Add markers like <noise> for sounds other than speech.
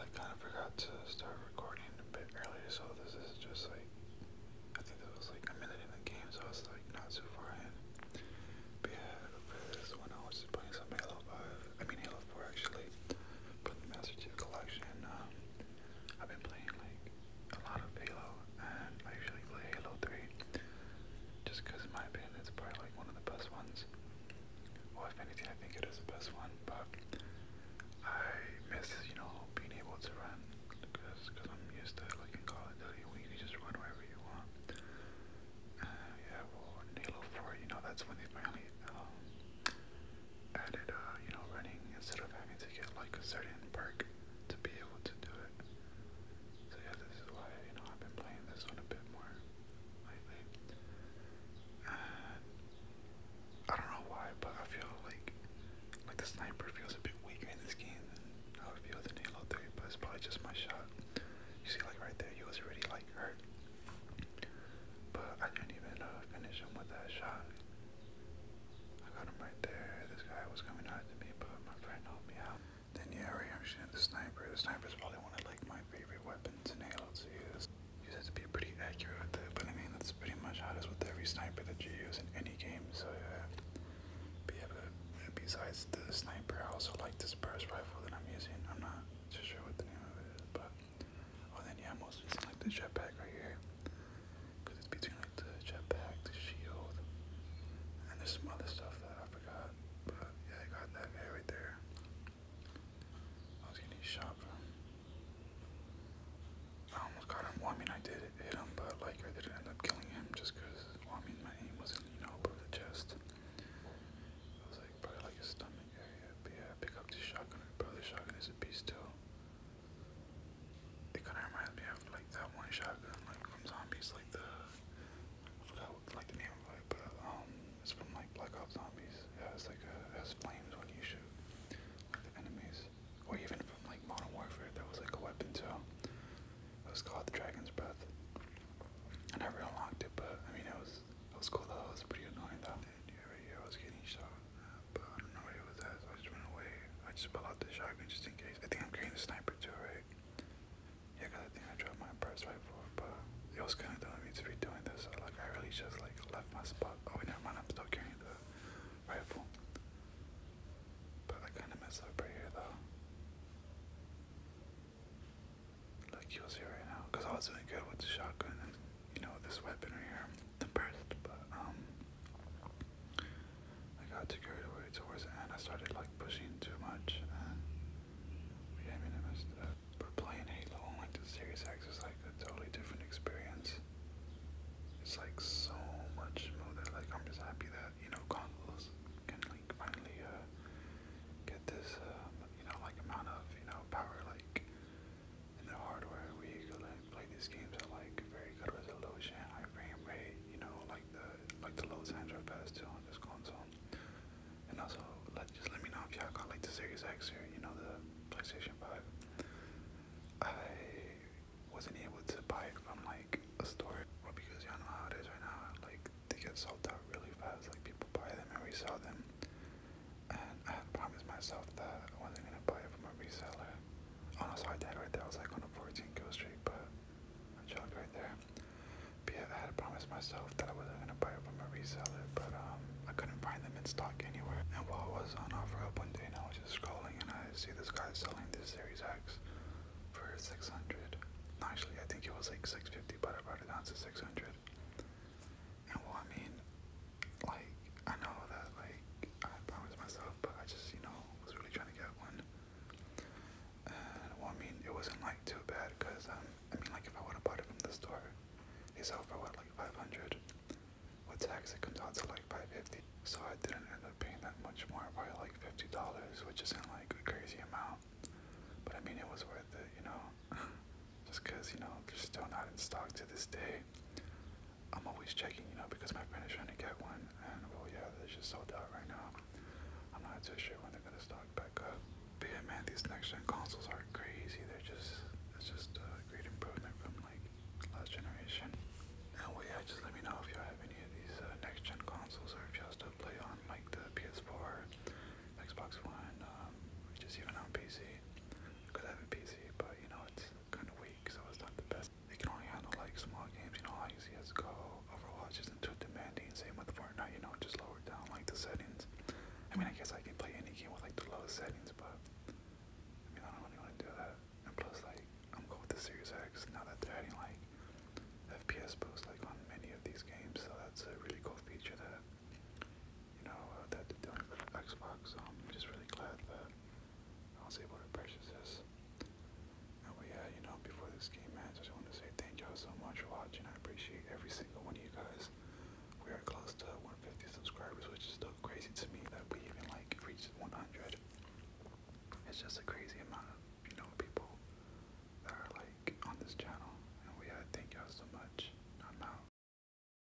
I kind of forgot to start recording a bit earlier, so this is just like I think that was like a minute in the game, so I was like not too far in. But yeah, for this one, I was just playing some Halo 5. I mean Halo 4 actually, but the Master Chief Collection. Um, I've been playing like a lot of Halo, and I usually play Halo 3 just because in my opinion it's probably like one of the best ones is. Well, if anything, I think it is the best one, but I miss, you know, being able to run because cause I'm used to, like, in Call of Duty, where you can just run wherever you want. Uh, yeah, well, in Halo 4, you know, that's when they finally um, added, uh, you know, running instead of having to get, like, a certain perk to be able to do it. So, yeah, this is why, you know, I've been playing this one a bit more. I don't know why, but I feel like like the sniper feels a bit weaker in this game I feel it feels in Halo 3, but it's probably just my shot. You see like right there, he was already like hurt. But I didn't even know uh, to finish him with that shot. I got him right there. This guy was coming out to me, but my friend helped me out. Then yeah, right here I'm shooting the sniper. The sniper is probably one of like my favorite weapons weapons and Halo's used. You have to be pretty accurate with it, but I mean, that's pretty much how it is with every sniper that you use in any game, so yeah. But yeah, but besides the sniper, I also like this burst rifle that I'm using. I'm not too sure what the name of it is, but. Oh, then yeah, I'm mostly using like the jetpack right here. Because it's between like the jetpack, the shield, and there's some other stuff that I forgot. But yeah, I got that guy right there. I was gonna from. I almost got him. I mean, I did hit him, but like I didn't end up killing him just because. I mean, my aim wasn't, you know, above the chest. I was like probably like a stomach area. But yeah, pick up this shotgun. Probably this shotgun is a beast too. It kind of reminds me of like that one shotgun, like from zombies, like the I forgot what, like the name of it, but um, it's from like Black Ops Zombies. Yeah, it's like a, uh, has flames when you shoot enemies, or even from like Modern Warfare, there was like a weapon too. Um, it was called the Dragon's Breath. I never unlocked it, but I mean it was it was cool though. It was pretty annoying though. I was getting shot, but I don't know where it was I just ran away. I just pulled out the shotgun just in case. I think I'm carrying the sniper too, right? Yeah, cause I think I dropped my press right forward, but it was kind of I me to be doing this. like, I really just like left my spot. Oh, wait, never mind. I'm still carrying the rifle, but I kind of messed up right here though. Like you'll see right now, cause I was doing good with the shotgun and you know this weapon right here, the burst. But um, I got too carried away towards the end. I started like pushing too much, and then we I mean, I messed it up. But playing Halo on like the Series X is like a totally different experience. It's like so much more that like I'm just happy that you know consoles can like finally uh, get this um, you know like amount of you know power like in their hardware where you can like play these games at like very good resolution, high frame rate, you know like the like the Los Angeles Pass too on this console. And also let just let me know if y'all got like the Series X or you know the PlayStation 5. I wasn't able to buy it from like a store well, because y'all know how it is right now, like they get sold out really fast, like people buy them and resell them. And I had promised myself that I wasn't gonna buy it from a reseller. Almost hard dead right there. I was like on a 14 kill streak, but I chugged right there. But yeah, I had promised myself that I wasn't gonna buy it from a reseller, but um, I couldn't find them in stock anywhere. And while it was on offer up one day, and I was just scrolling, and I see this guy selling this Series X for 600. No, actually, I think it was like 650, but I brought it down to 600. And well, I mean, like I know that like I promised myself stuff, but I just, you know, was really trying to get one. And well, I mean, it wasn't like too bad because, um, I mean, like if I would have bought it from the store, they sell for what, like 500 With tax, it comes out to like 550 So I didn't end up paying that much more, probably like $50, which isn't like a crazy amount. But I mean, it was worth it, you know? <laughs> just because, you know, they're still not in stock to this day. I'm always checking, you know, because my friend is trying to get one, and well, yeah, they're just sold out right now. I'm not too sure when they're gonna stock back up. But yeah, man, these next-gen consoles are crazy. They're just, it's just a great improvement from like last generation. Now, well, yeah, just let me know if you have any of these uh, next-gen consoles, or if you all still play on like the PS4, Xbox One, um, just even on PC. Because I have a PC, but you know, it's kind of weak, so it's not the best. They can only handle like small games, you know, like CSGO, Overwatch isn't too demanding, same with Fortnite, you know, just lower down like the settings. I mean, I guess I can play any game with like the lowest settings, but I mean, I don't really want to do that. And plus, like, I'm cool with the Series X now that they're adding like FPS boost like on many of these games, so that's a really cool feature that, you know, uh, that they're doing for the Xbox, so I'm just really glad that I was able to purchase this. And we, uh, you know, before this game ends, I just want to say thank y'all so much for watching. I appreciate every single one of you guys. We are close to 150 subscribers, which is so crazy to me that we even like reached 100. It's just a crazy amount of, you know, people that are like on this channel. And we, had uh, thank y'all so much. I'm out.